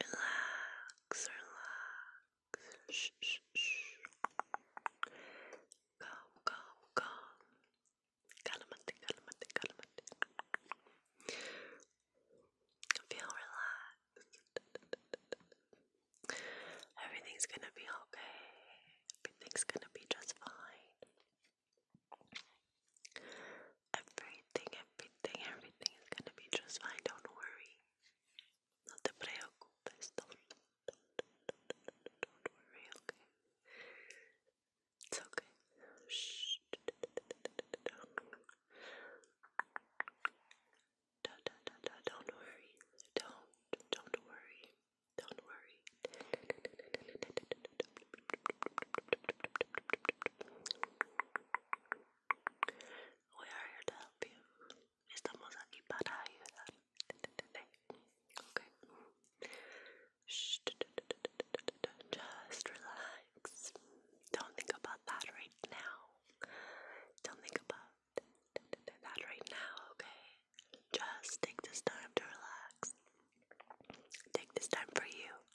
Relax, relax. Shh, shh, shh. Calm, calm, calm. Calamante, calamante, calamante. Feel relaxed. Everything's gonna be okay. Everything's gonna be just fine. Everything, everything, everything is gonna be just fine. Don't worry. No te preocupes. Don't, don't, don't, don't, don't worry, okay? It's okay. Shh. Don't worry. Don't, don't worry. Don't worry. We are here to help you. Estamos aquí para ayudar. Okay. Shh. Just relax. Don't think about that right now. Don't think about that right now, okay? Just take this time to relax. Take this time for you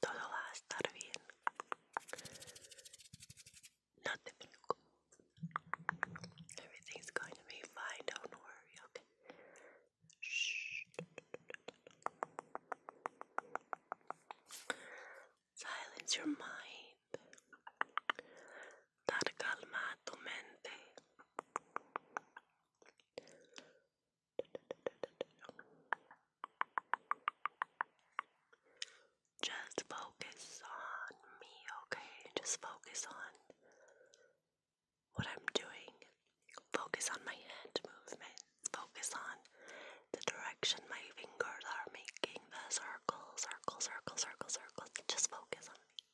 Todo va a estar bien. No te preocupes. Everything's going to be fine. Don't worry, okay? Shh. Silence your mind. Dar calma a tu mente. Just focus on me, okay? Just focus on what I'm doing. Focus on my hand movements. Focus on the direction my fingers are making the circle, circle, circle, circle, circle. Just focus on me.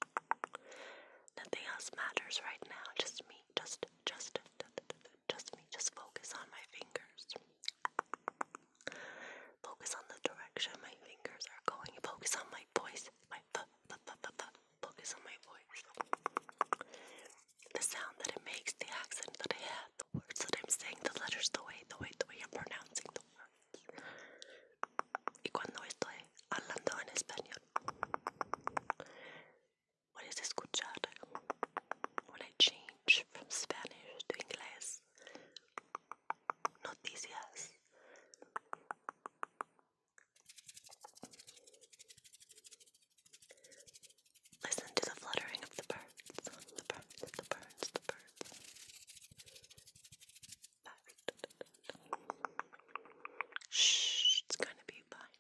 Nothing else matters right now. Just me. Just, just, just me. Just focus on my fingers. Focus on the direction my fingers are going. Focus on my voice. My focus on my voice. The sound that it makes, the accent that I have, the words that I'm saying, the letters, the way, the way, the way I'm pronouncing the words. Y cuando estoy hablando en español, what is this, Good escuchar? When I change from Spanish to English. Noticias. Listen to the fluttering of the birds, the birds, the birds, the birds. Shh, it's gonna be fine.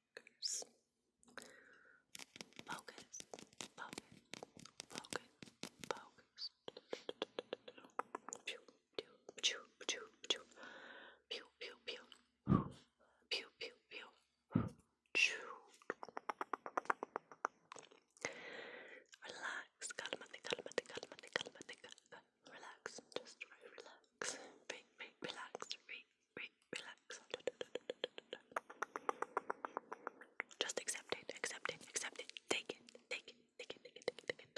focus, focus, focus, focus, focus. Pew, pew, pew, pew, pew, pew, pew, pew, pew, pew, pew, pew. Relax, calmate, calmate, calmate, calmate, calmate relax, just re relax, relax, relax. Just accept it, accept it, accept it. Take it, take it, take it, take it, take it, take it.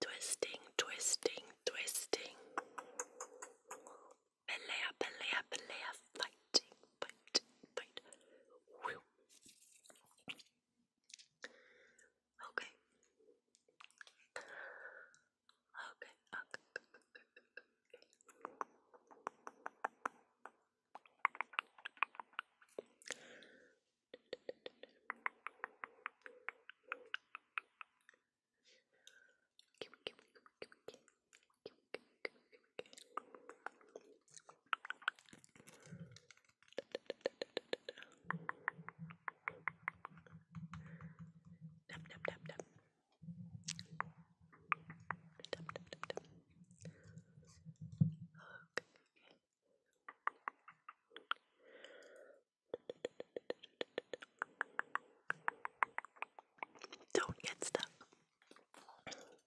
Twisting, twisting, twisting. Belea, belea, belea, fight biting, biting, bite. Okay. Okay, okay, Dum, dum, Don't get stuck.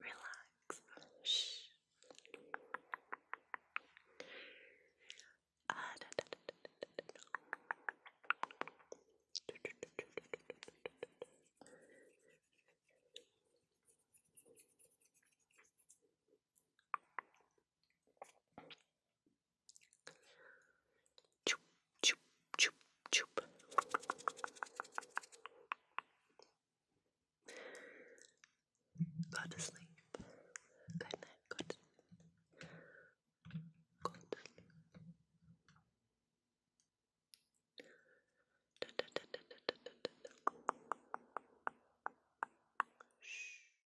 Relax. Shh. Uh, Choop, choop, choop, choop. Go to sleep. Good night. Go to Shh.